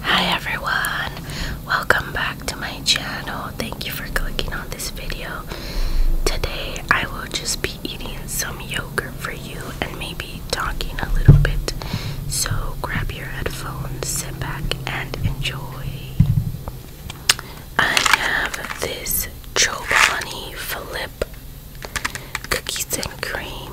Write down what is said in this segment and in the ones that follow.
Hi everyone, welcome back to my channel. Thank you for clicking on this video. Today I will just be eating some yogurt for you and maybe talking a little bit. So grab your headphones, sit back, and enjoy. I have this Chobani Philip cookies and cream.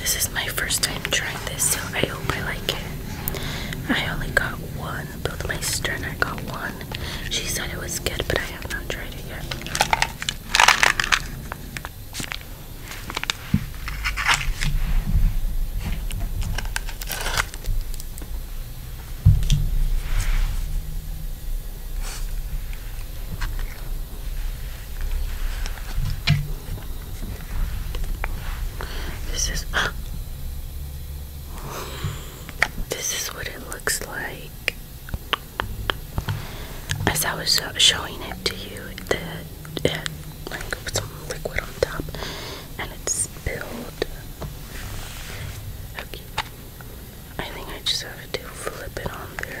This is my first time trying this, so I hope I like it. I only got one. Both my sister and I got one. She said it was good, but I have not tried it yet. This is uh, This is what it looks like. As I was showing it to you, the had it had some liquid on top and it spilled. Okay. I think I just have to flip it on there.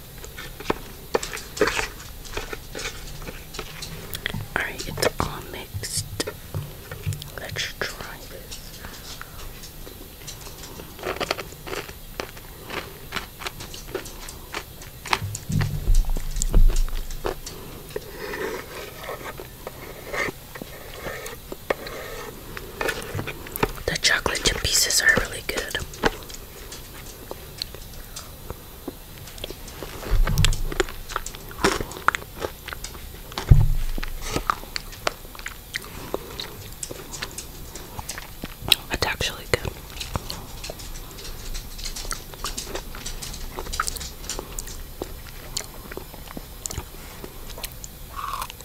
Alright, it's all mixed. Let's try this. The chocolate chip pieces are really good. It's actually good.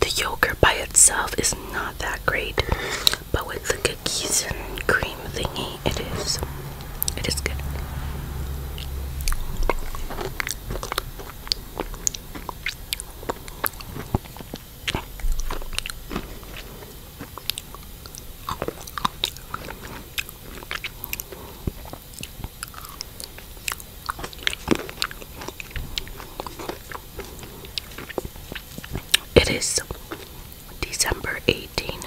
The yogurt by itself is not that great, but with the cookies and cream thingy, it is. It is good. It is December 18.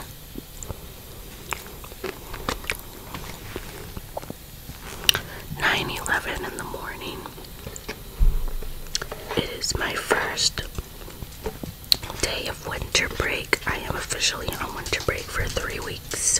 Nine eleven in the morning. It is my first day of winter break. I am officially on winter break for three weeks.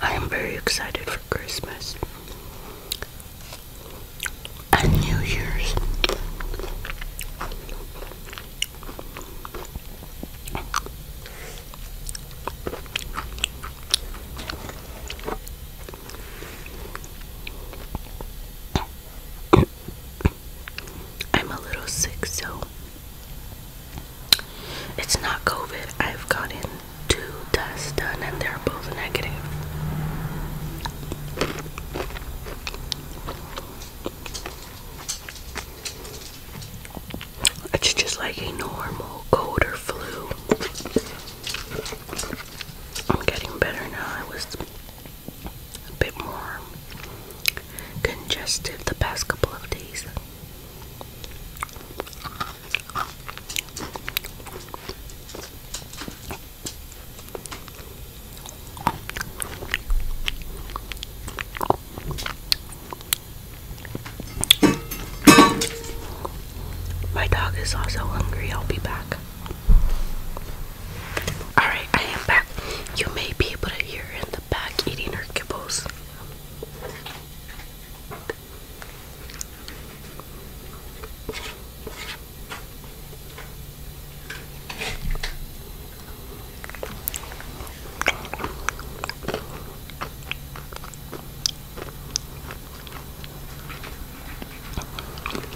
I am very excited for Christmas and New Year's. I'm a little sick, so it's not COVID. I've gotten two tests done and they're both negative. It's just like a normal cold or flu. I'm getting better now. I was a bit more congested the past couple of days. My dog is also hungry. I'll be back. Alright, I am back you may be able to hear in the back eating her kibbles.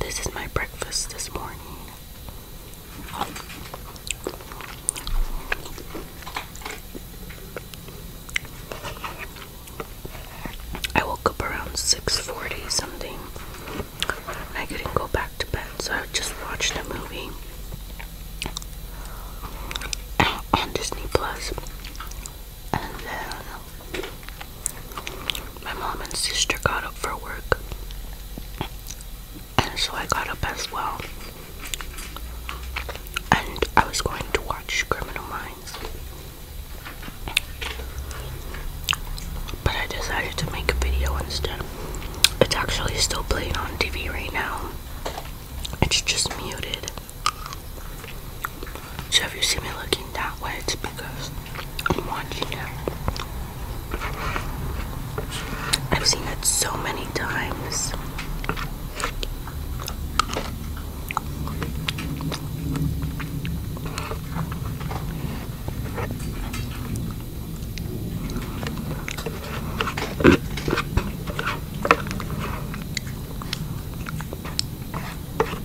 This is my breakfast this morning. I woke up around 6:40 something. I couldn't go back to bed, so I just watched a movie on Disney And then my mom and sister got up for work, and so I got up as well. And I was going to watch Criminal Minds, but I decided to make a video instead. It's actually still playing on TV right now, it's just muted. So if you see me looking that way, it's because I'm watching it. I've seen it so many times.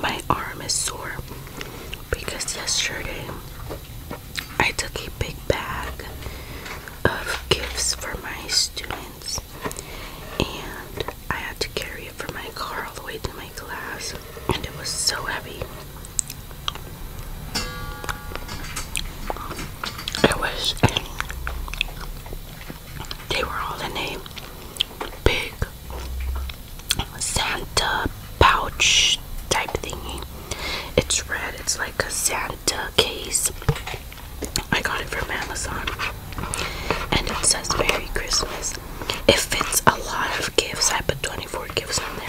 My arm is sore because yesterday I took a big bag of gifts for my students and I had to carry it from my car all the way to my class and it was so heavy. It was they were all in a big Santa pouch type thingy. It's red, it's like a Santa case. I got it from Amazon and it says Merry Christmas. It fits a lot of gifts. I put 24 gifts on there.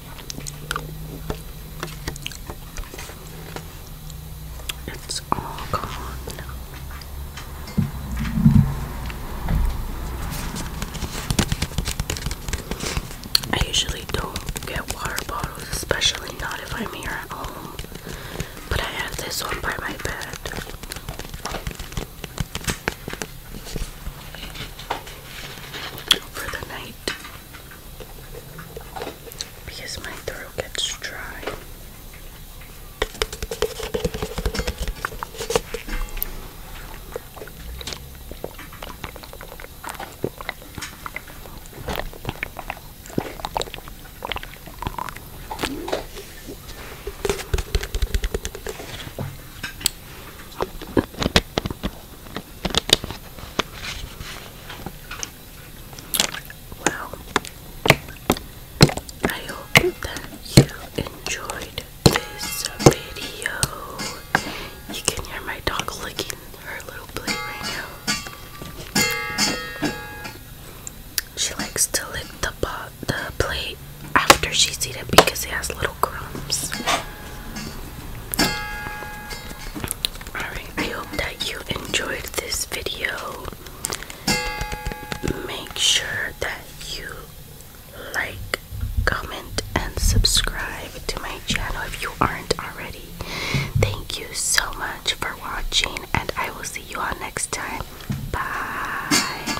It's all gone. I usually don't get water bottles, especially not if I'm here at home. But I have this one by my bed for the night because my throat gets dry. I hope that you enjoyed this video. You can hear my dog licking her little plate right now. She likes to lick the paw the plate after she's eaten because it has little crumbs. Alright, I hope that you enjoyed this video. Make sure that you like, comment, and subscribe to my channel if you aren't already. Thank you so much for watching, and I will see you all next time. Bye.